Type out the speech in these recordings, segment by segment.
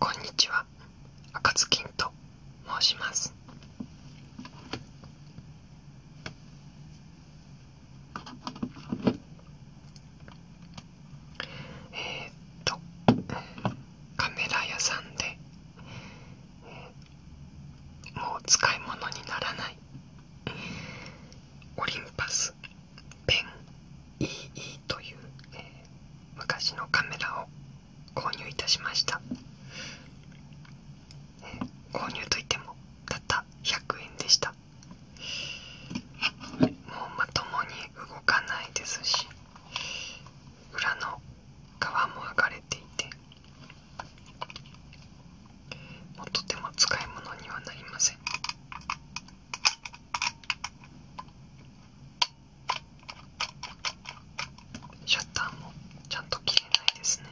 こんにちは、赤ずきんと申します。えっとカメラ屋さんで、もう使い物にならないオリンパスペン EE という、昔のカメラを購入いたしました、購入といってもたった100円でした、もうまともに動かないですし裏の側も剥がれていてもうとても使い物にはなりませんシャッターもちゃんと切れないですね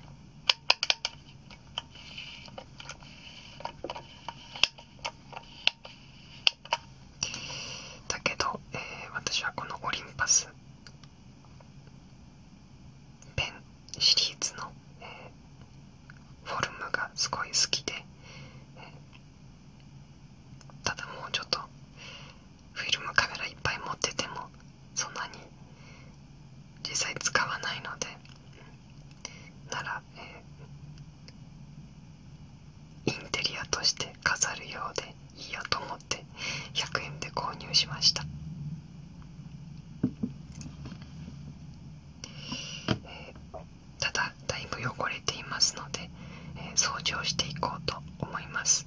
だけど、えー、私はこのオリンパスペンシリーズの、えー、フォルムがすごい好きで、ただもうちょっとフィルムカメラいっぱい持っててもそんなに実際使わないのでなら、えインテリアとして飾るようでいいやと思って100円で購入しました、ただだいぶ汚れていますので、掃除をしていこうと思います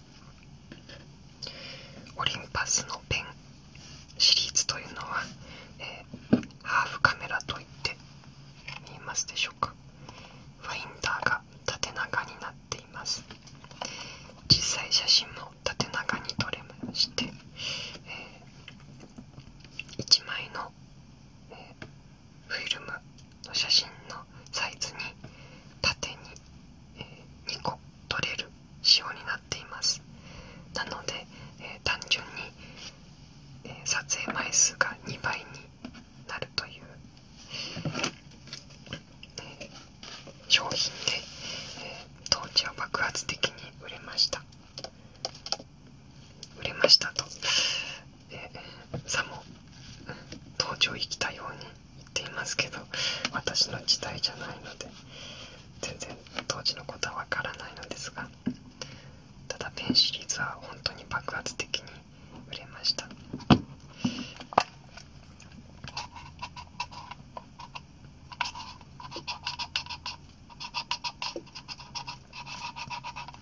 オリンパスのペンシリーズというのは、えハーフカメラといって見えますでしょうかファインダーが縦長になっています実際写真も縦長に撮れまして、え1枚の、フィルムの写真のサイズに縦に、え2個取れる仕様になっていますなので、え単純に、え撮影枚数が2倍になるという、え商品で、えー、当時は爆発的に売れました売れましたとさも登場生きたように言っていますけど私の時代じゃないので全然当時のことは分からないのですがただペンシリーズは本当に爆発的に売れました。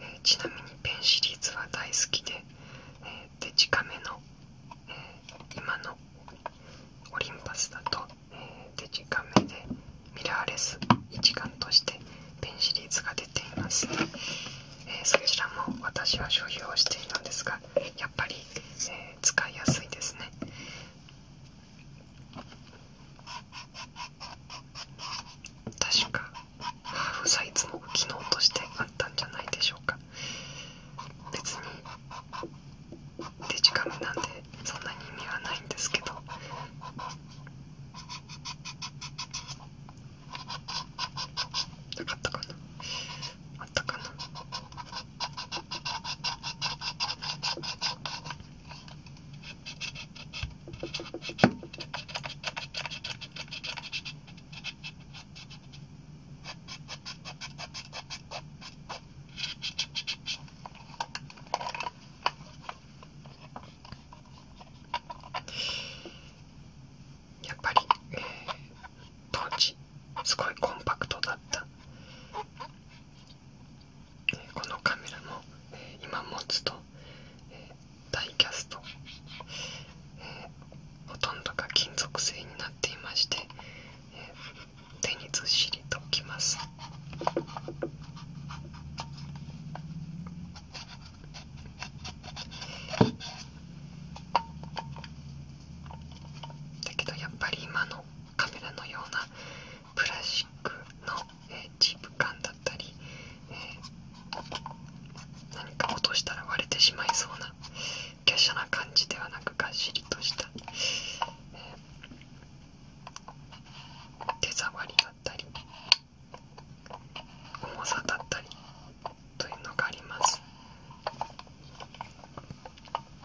えちなみにペンシリーズは大好きで、えデジカメの、え今のオリンパスだと、えデジカメでミラーレス一眼としてペンシリーズが出ています、えー、そちらも私は所有をしているのですがやっぱり、え使いやすいですね確かハーフサイズも機能としてあったんじゃないでしょうか別にデジカメなんでそんなに意味はないんですけどなかったかなあったかなやっぱり、当時すごいコンパクトだったこのカメラも今持つとダイキャストほとんどが金属製になっていまして手にずっしりと置きます。だけどやっぱり今のカメラのようなプラスチックの、えー、チープ缶だったり、えー、何か落としたら割れてしまいそうな華奢な感じではなくがっしりとした、えー、手触りだったり重さだったりというのがあります。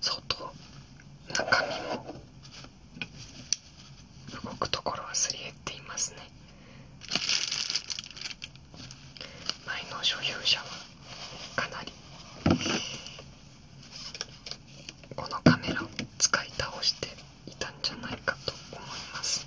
相当中身も動くところはすり減っていますね前の所有者はかなりこのカメラを使い倒していたんじゃないかと思います。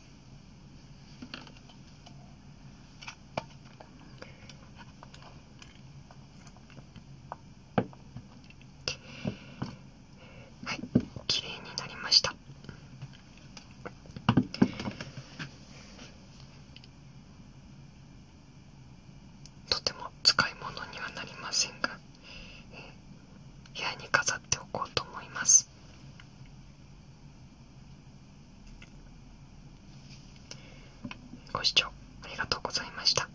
はい綺麗になりましたとても使い物にはなりませんが部屋に飾っておこうと思います。ご視聴ありがとうございました。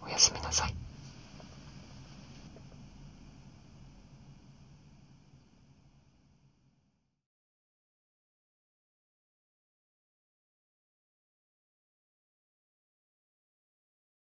おやすみなさい。